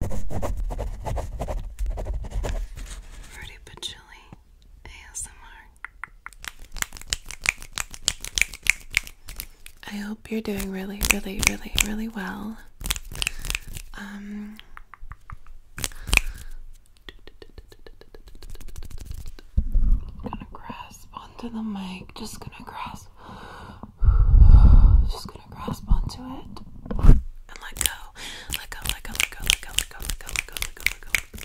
Fruity but ASMR. I hope you're doing really, really, really, really well. Um, gonna grasp onto the mic, just gonna grasp Just gonna grasp onto it and let go. Let go, let go, let go, let go, let go, let go, let go, let go, let go.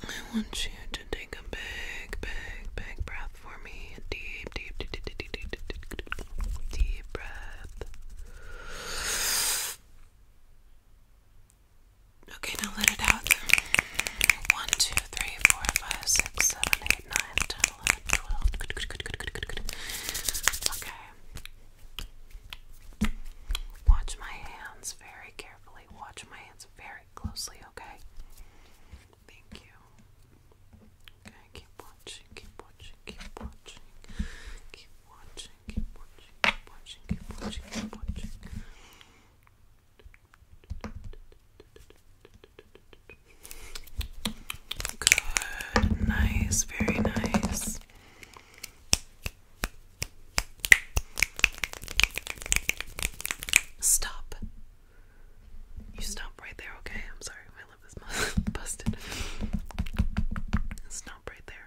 I want you to take a big, big, big breath for me. Deep, deep, deep, deep, deep, deep, deep, deep, deep, deep, deep breath. Okay, now let it out. 1, Okay. Watch my hands very carefully. Watch my hands very closely, okay? Thank you. keep watching, keep watching. Keep watching, keep watching, keep watching, keep watching, keep watching. Good, nice, very nice. Stop. You stop right there, okay? I'm sorry, my lip is busted. Stop right there.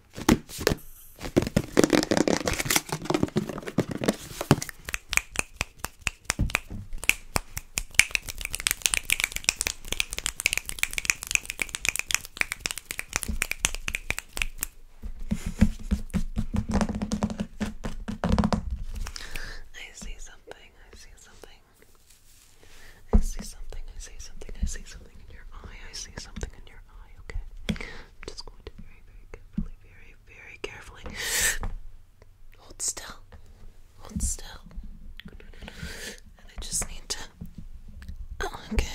I see something, I see something. I see something, I see something, I see something in your eye, I see something in your okay? I'm just going to very, very carefully, very, very carefully. Hold still. Hold still. And I just need to. Oh, okay,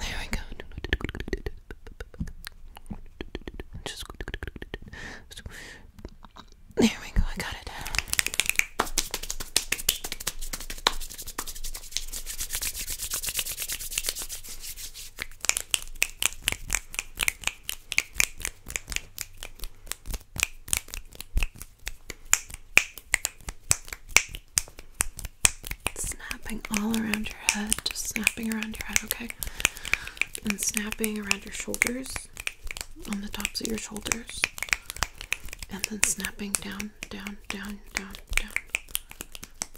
there we go. Just... There we go, I got it Snapping all around your head, just snapping around your head, okay? And snapping around your shoulders, on the tops of your shoulders, and then snapping down, down, down, down, down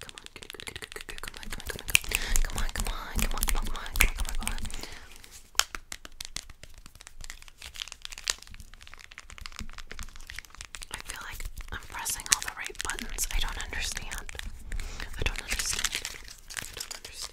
Come on, good, good, come on, come on, come on, come on, come on, come on, come on, come on, come on, come on, come on. I feel like I'm pressing all the right buttons. I don't understand. I don't understand. I don't understand.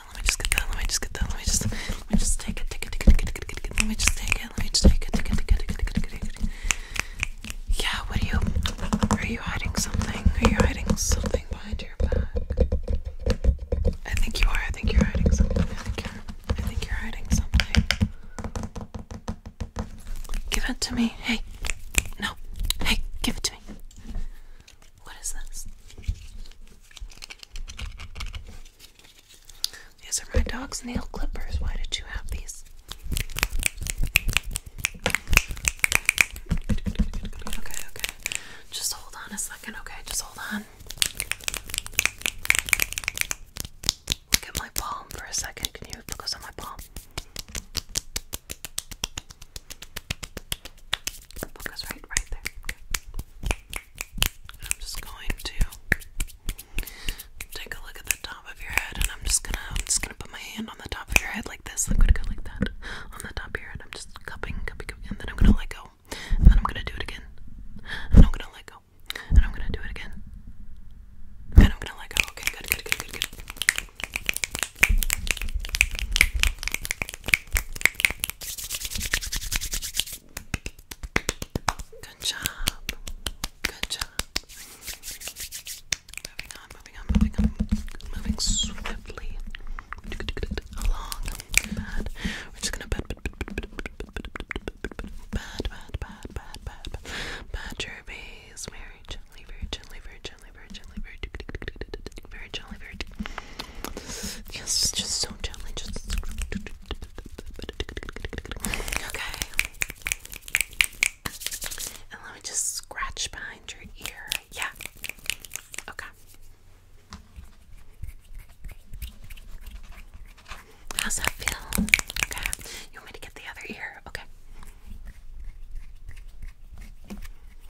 that, let me just get that, let me just get that, let me just let me just take it, take it, take it, take it, take it, let me just take it, let me just take it, take it, take it, take it, take it. Yeah, what are you are you hiding something? Are you hiding something behind your back? I think you are, I think you're hiding something. I think you're I think you're hiding something. Give it to me. Hey. No. Hey, give it to me. What is this? These are my dog's nail clippers. Why did you have these? Okay, okay. Just hold on a second, okay? Just hold on. Look at my palm for a second. Can you focus on my palm? Focus right, right there. I'm just going to take a look at the top of your head, and I'm just gonna, just gonna put my hand on the top of your head like this. I'm gonna go like that on the top of your I'm just cupping, cupping, and then I'm gonna let go, and then I'm gonna do it again, and I'm gonna let go, and I'm gonna do it again, and I'm gonna let go. Okay, good, good, good, good, good. Good job. Good job. Moving on, moving on, moving on. Moving swiftly along. Bad. We're just gonna bad, bad, bad, bad, bad, bad, bad, bad, bad your base gently, very gently, very very gently, very yes, just so gently, just okay. And let me just scratch behind your ear. Yeah. Okay. How's that feel? Okay. You want me to get the other ear? Okay.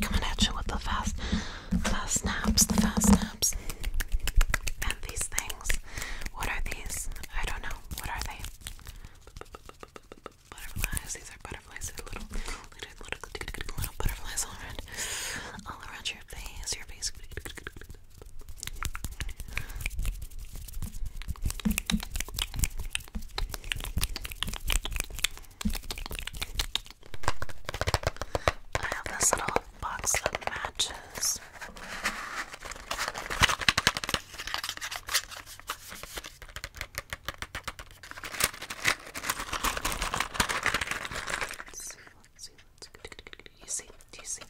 coming at you with the fast, fast snaps, the fast snaps. And these things. What are these? I don't know. What are they? Butterflies. These are butterflies. They're little, little, little, little butterflies all around, all around your face. Your face. I have this little box that matches. let You see, do you see?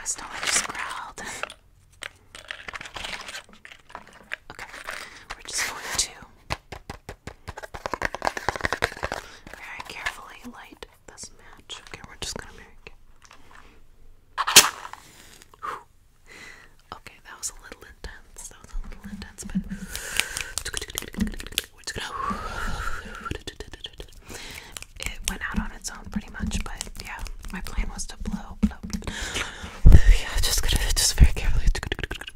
I still like just growled. Okay, we're just going to very carefully light this match. Okay, we're just gonna make it. Okay, that was a little intense. That was a little intense, but It went out on its own pretty much, but yeah, my plan was to blow, blow, blow, just gonna just very carefully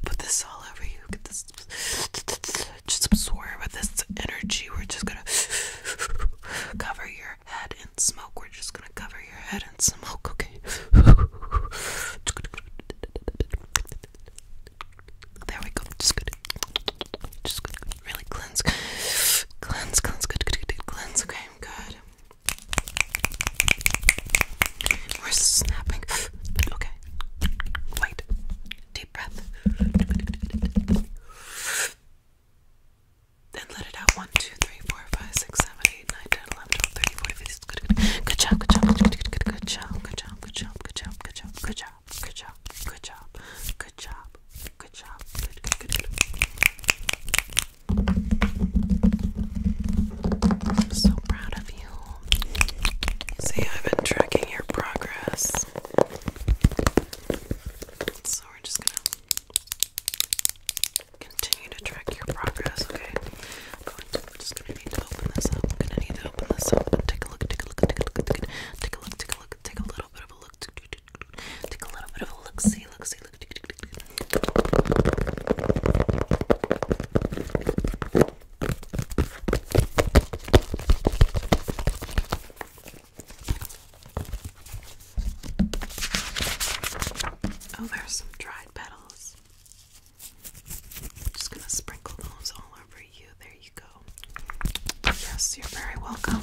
put this all over you. Get this just absorb this energy. We're just gonna cover your head in smoke. We're just gonna cover your head in smoke, okay? There we go. Just good. Just good. Really cleanse. Cleanse, cleanse, okay, good. We're snapping. Okay. Wait. Deep breath. Then let it out. 1, Good, job. Good job. Good job. Good job. Good job. Good job. Good job. Good job. Good job. Good job. Good job. Good job. I'm so proud of you. See, I've been tracking your progress. So we're just gonna continue to track your progress, okay? I'm just gonna need to open this up. I'm gonna need to open this up. Take take a look, take a look, take a look, take a look, take a look, take a little bit of a look. Take a little bit of a look, see, see, Oh, there's some dried petals. I'm just gonna sprinkle those all over you. There you go. Yes, you're very welcome.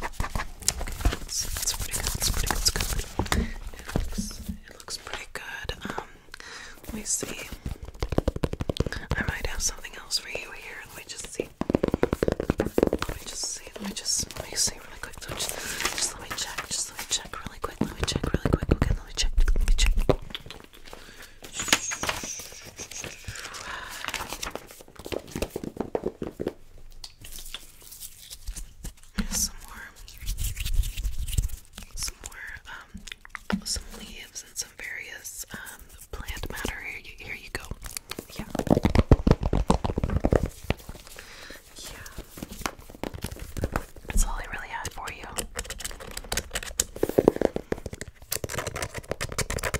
That's, that's pretty good. That's pretty good. It looks, pretty good. Um, let me see. I might have something else for you here. Let me just see. Let me just see. Let me just let me see really quick. just let me check. Just let me check really quick. Let me check really quick. Okay, let me check. Let me check. Some more, some more, um, some leaves and some various um, plant matter. Here you, here you go. Yeah, yeah. That's all I really had for you.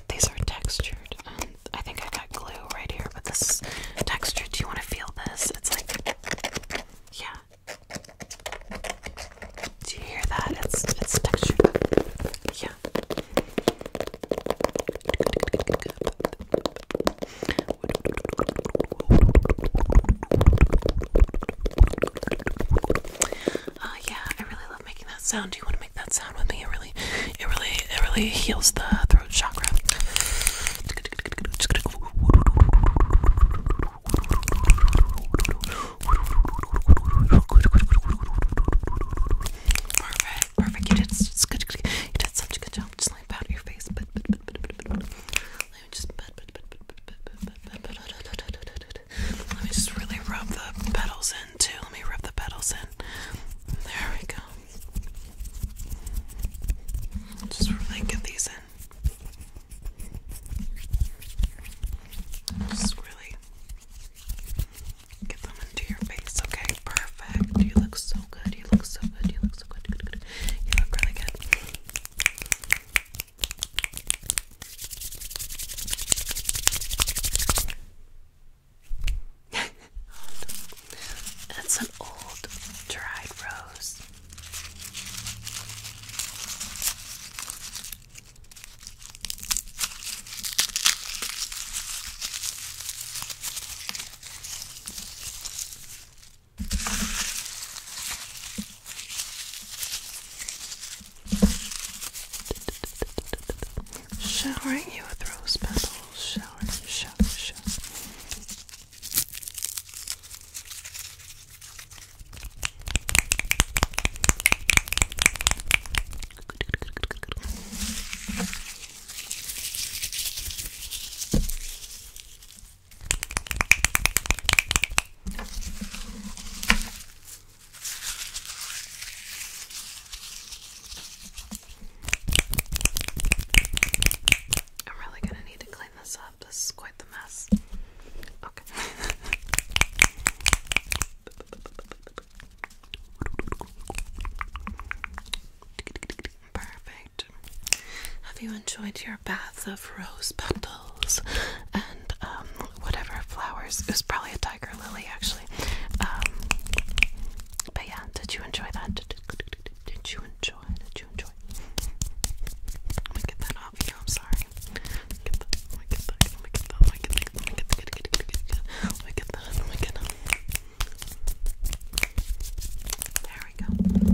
These are textured. Um, I think I got glue right here, but this texture, do you want to feel this? It's like, yeah. Do you hear that? It's it's textured. Yeah. Uh, yeah, I really love making that sound. Do you want to make that sound with me? It really it really it really heals the throat chakra. Perfect, perfect. You did, such a good job. Just like powder your face, Let me just Let me just really rub the petals in too. Let me rub the petals in. There we go. Just really get these in. Just really get them into your face. Okay, perfect. You look so good. You look so good. You look so good. You look really good. That's an old dried rose. Showering you with rose petals shower, shower, shower. I'm really gonna need to clean this up. This is quite the mess. Okay. Perfect. Have you enjoyed your bath of rose petals and um, whatever flowers? It was probably a tiger lily, actually. Um, but yeah, did you enjoy that? Did, did, did you enjoy? Did you enjoy? Let me get that off you. I'm sorry. Get that. Let me get that. Let me get that. Let me get that. Let me get that. Let me get that. Let me get that. Let me get that. There we go.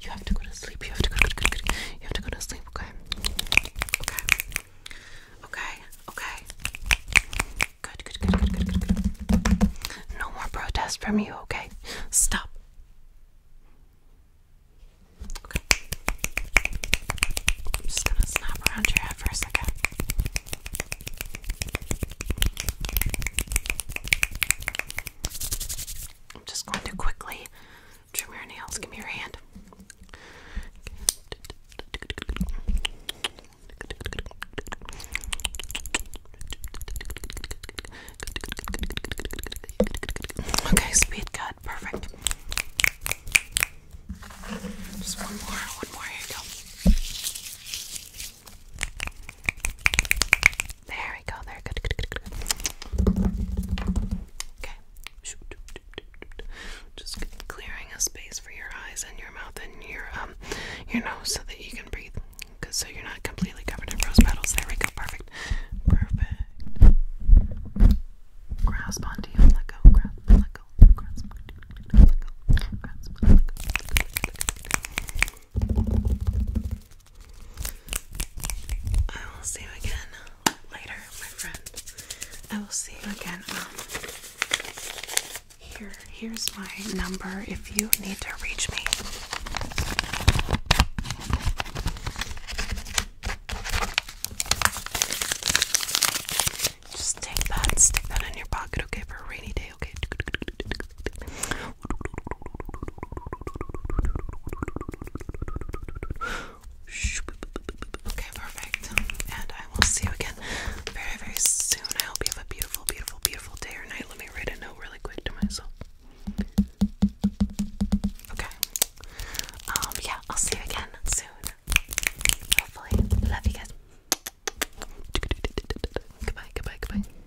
You have to go to sleep. You have to go, go, go, go, go. You have to go to sleep, okay? Okay. Okay. Okay. Good, good, good, good, good, good, good. No more protests from you, okay? Stop. Okay. I'm just gonna snap around your head for a second. I'm just going to quickly trim your nails. Give me your hand. Okay, speed cut, perfect. Just one more, one more, here you go. There we go. There, good, Okay. Just clearing a space for your eyes and your mouth and your um your nose so that you can breathe. Cause so you're not completely covered in rose petals. There we go. Perfect. Perfect. Grasp onto you. Let go. Grasp. Let go. Grasp. Let go. Let go. Grasp. Let go. Let go. I will see you again later, my friend. I will see you again. Um, here, here's my number if you need to reach me. Just take that, stick that in your pocket, okay, for a rainy day okay, okay. perfect. And I will see you again very, very soon. I hope you have a beautiful, beautiful, beautiful day or night. Let me write a note really quick to myself. Okay. Um, yeah, I'll see you again soon. Hopefully. Love you guys. Goodbye, goodbye, goodbye.